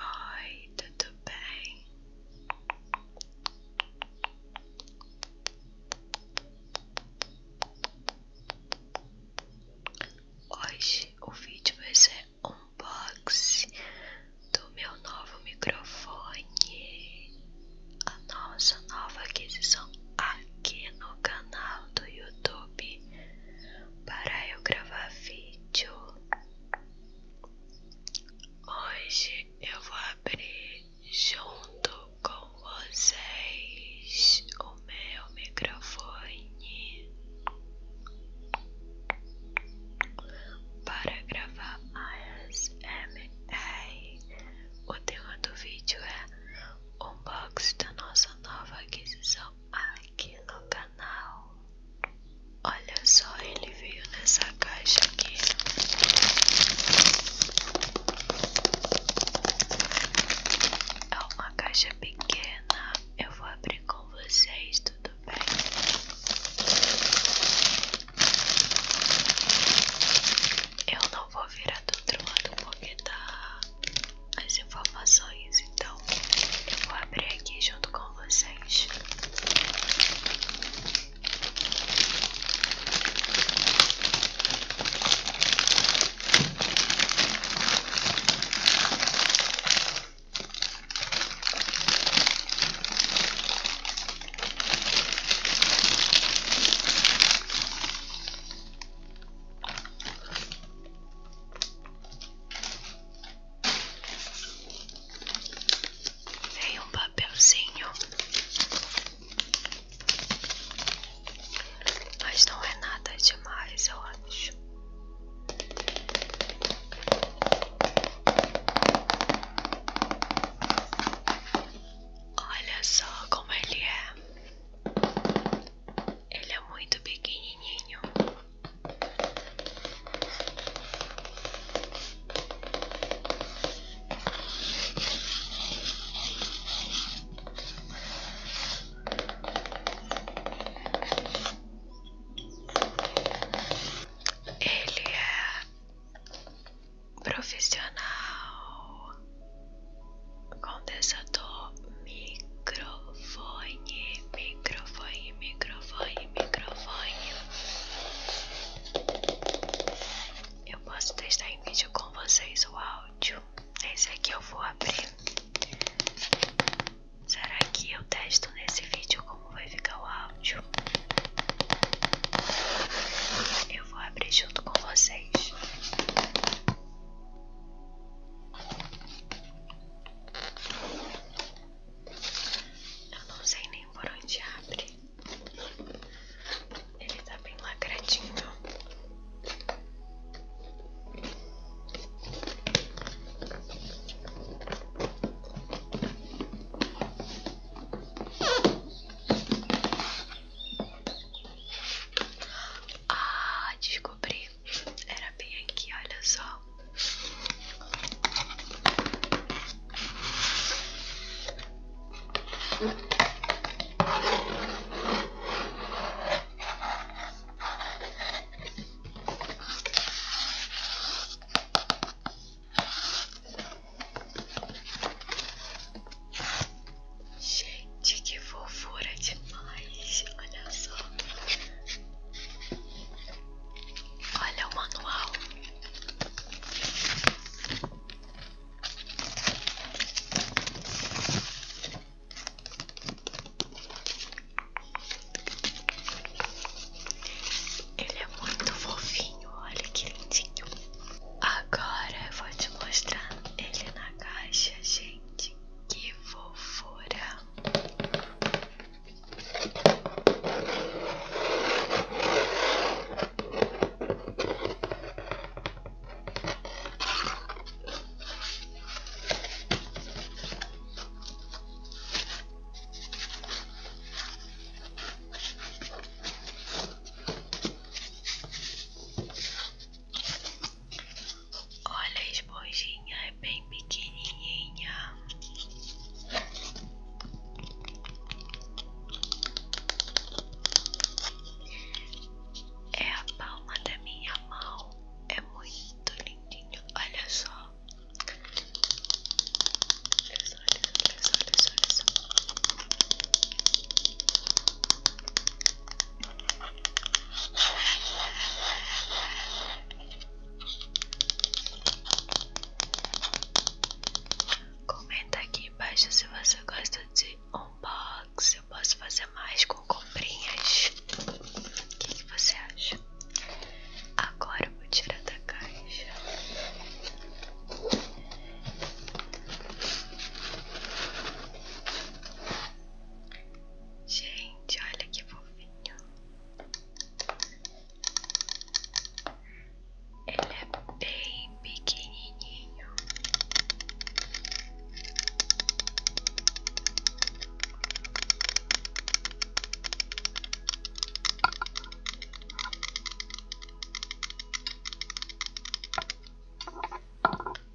Oi, tudo bem? Hoje o vídeo vai ser unboxing do meu novo microfone a nossa nova aquisição aqui no canal do YouTube para eu gravar vídeo. Hoje eu vou abrir junto com vocês o meu microfone para gravar ASMR o tema do vídeo é unboxing da nossa nova aquisição aqui no canal. Olha só, ele veio nessa caixa aqui. É uma caixa pequena. Eu vou abrir com vocês, tudo bem? Eu não não vou virar do outro lado porque tá as informações, então eu vou abrir aqui junto com vocês. Vem um papelzinho, mas não é nada demais, eu acho. Olha só como ele é. Ele é muito pequenininho. Ele é profissional, condensador, microfone, microfone, microfone, microfone. Eu posso testar em vídeo com vocês o áudio. Esse aqui eu vou abrir. Será que eu testo nesse vídeo como vai ficar o áudio? Eu vou abrir junto com vocês. Eu não sei nem por onde abre. Ele está bem lacradinho. Ah, descobri. Era bem aqui, olha só. Gente, que fofura demais! Olha só. Olha o manual. Ele é muito fofinho, olha que lindinho. Agora eu vou te mostrar ele na caixa, gente. Que fofura! Olha a esponjinha, é bem pequenininha. É a palma da minha mão, é muito lindinho. Olha só olhos, olhos, olhos. Comenta aqui embaixo se você gosta de unbox. Eu posso fazer mais com comprinhas. O que, que você acha? Agora Vou tirar da caixa. Gente, olha que fofinho. Ele é bem pequenininho.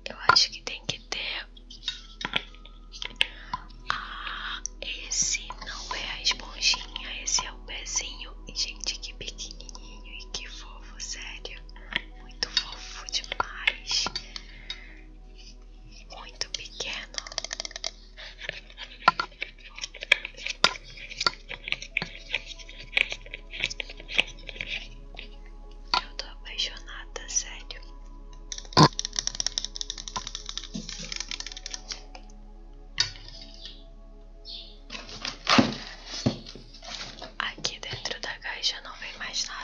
Eu acho que tem que ter. Ah, esse não é a esponjinha, esse é o pezinho. gente, que pequenininho e que fofo, sério. Muito fofo demais. Muito pequeno. Eu tô apaixonada, sério. Aqui dentro da caixa não vem mais nada.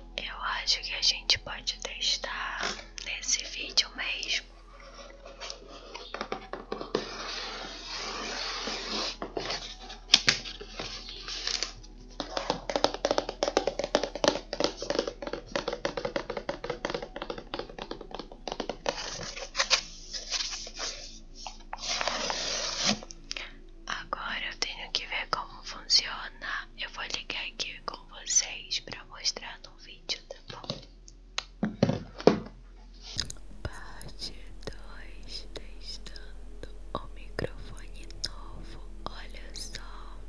Eu acho que a gente pode testar nesse vídeo mesmo. Agora eu tenho que ver como funciona eu vou ligar aqui com vocês para mostrar no vídeo, tá bom? Parte 2 testando o microfone novo. Olha só,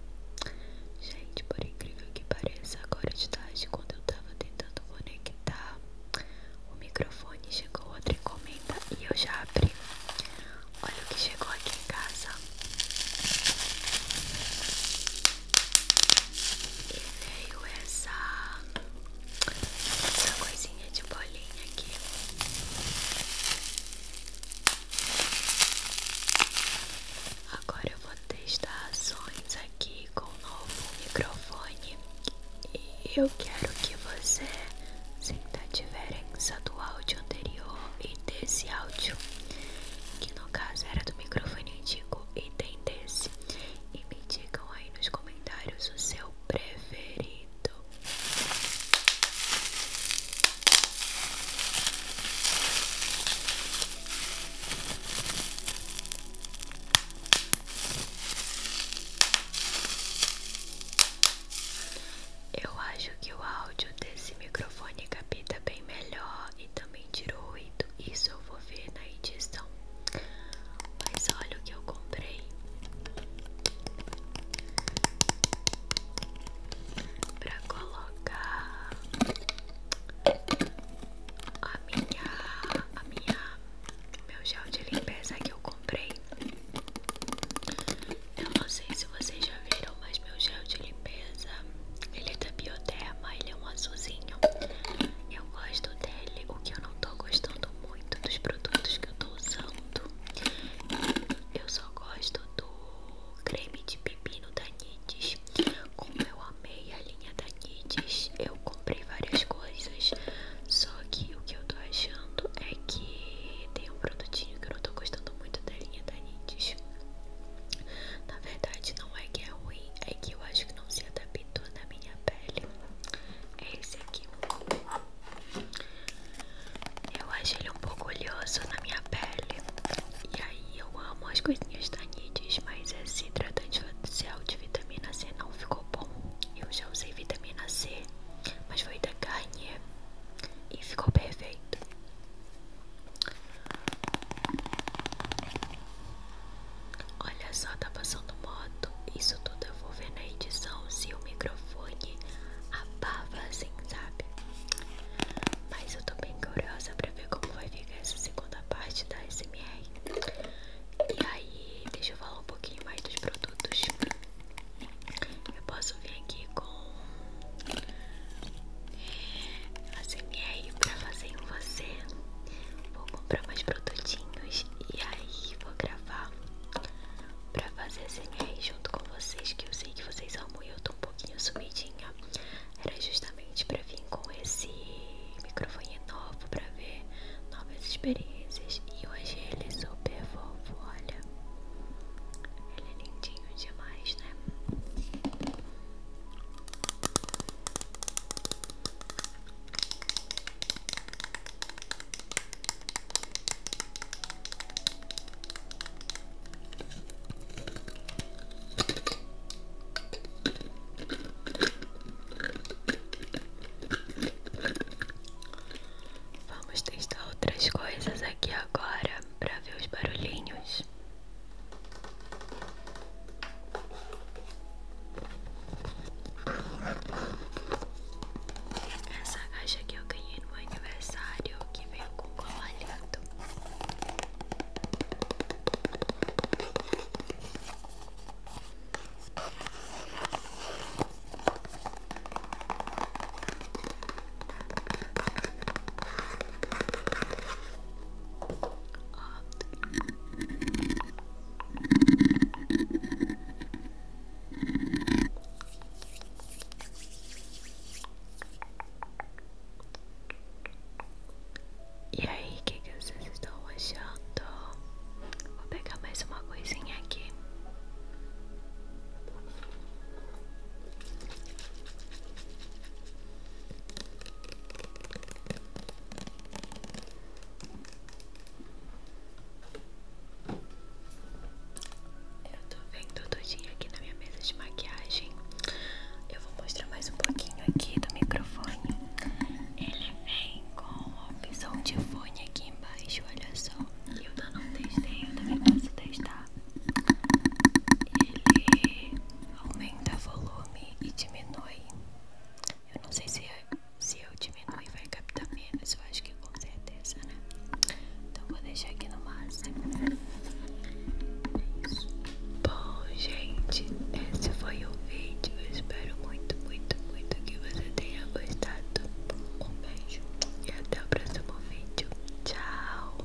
gente, por incrível que pareça, agora de tarde, quando eu estava tentando conectar, o microfone chegou outra encomenda e eu já abri. Olha o que chegou aqui em casa. E veio essa, essa coisinha de bolinha aqui. Agora eu vou testar ações aqui com o novo microfone. E eu quero que você se ainda tiver do áudio anterior e desse áudio, que no caso era do microfone antigo e tem desse. E me digam aí nos comentários o seu preferido. Eu acho que o áudio desse microfone capta bem melhor e também tirou o ruído. Isso eu vou ver na edição. Mas olha o que eu comprei. Pra colocar a minha, a minha, meu gel de limpeza que eu eu não sei se vocês já viram, mas meu gel de limpeza, ele é da Bioderma, ele é um azulzinho. Eu gosto dele, o que eu não tô gostando muito dos produtos que eu tô usando. Eu só gosto do creme de pepino da Nides. Como eu amei a linha da Nides, eu comprei várias coisas. Só que o que eu tô achando é que tem um produtinho que eu não tô gostando muito da linha da Na verdade, não é que é ruim, é que eu acho que não se adaptou na minha pele. É esse aqui. Eu acho ele um pouco oleoso na minha pele. E aí eu amo as coisinhas da mas esse hidratante facial de vitamina C não ficou bom. Eu já usei vitamina C, mas foi da Garnier. E ficou perfeito. Olha só, tá passando moto. Isso tudo eu vou ver na edição se o microfone abafa assim, sabe? Mas eu tô bem curiosa pra ver como vai ficar essa segunda parte da SMR. E aí, deixa eu falar um pouquinho mais dos produtos. Eu posso vir aqui com ASMR pra fazer em você. Vou comprar mais produtinhos e aí vou gravar pra fazer ASMR junto com vocês. Que eu sei que vocês amam e eu tô um pouquinho sumidinha. Era justamente pra vir com esse microfone novo pra ver novas experiências. E hoje ele é super fofo, olha. Ele é lindinho demais, né? Vamos testar outras coisas aqui agora para ver os barulhinhos. Essa caixa que eu ganhei no aniversário que veio com colar lindo. E aí, que, que vocês estão achando? Vou pegar mais uma coisinha aqui. Eu tô vendo tudinho aqui na minha mesa de maquiagem. Eu vou mostrar mais um pouquinho aqui do microfone. Ele vem com opção de fone aqui embaixo, olha só. Eu também não testei, eu também posso testar. Ele aumenta volume e diminui. Eu não sei se eu, se eu diminuir vai captar menos, eu acho que com certeza, né? Então vou deixar aqui no máximo. É isso. Bom, gente, esse foi o vídeo. espero muito, muito, muito que você tenha gostado. Um e até o próximo vídeo. Tchau!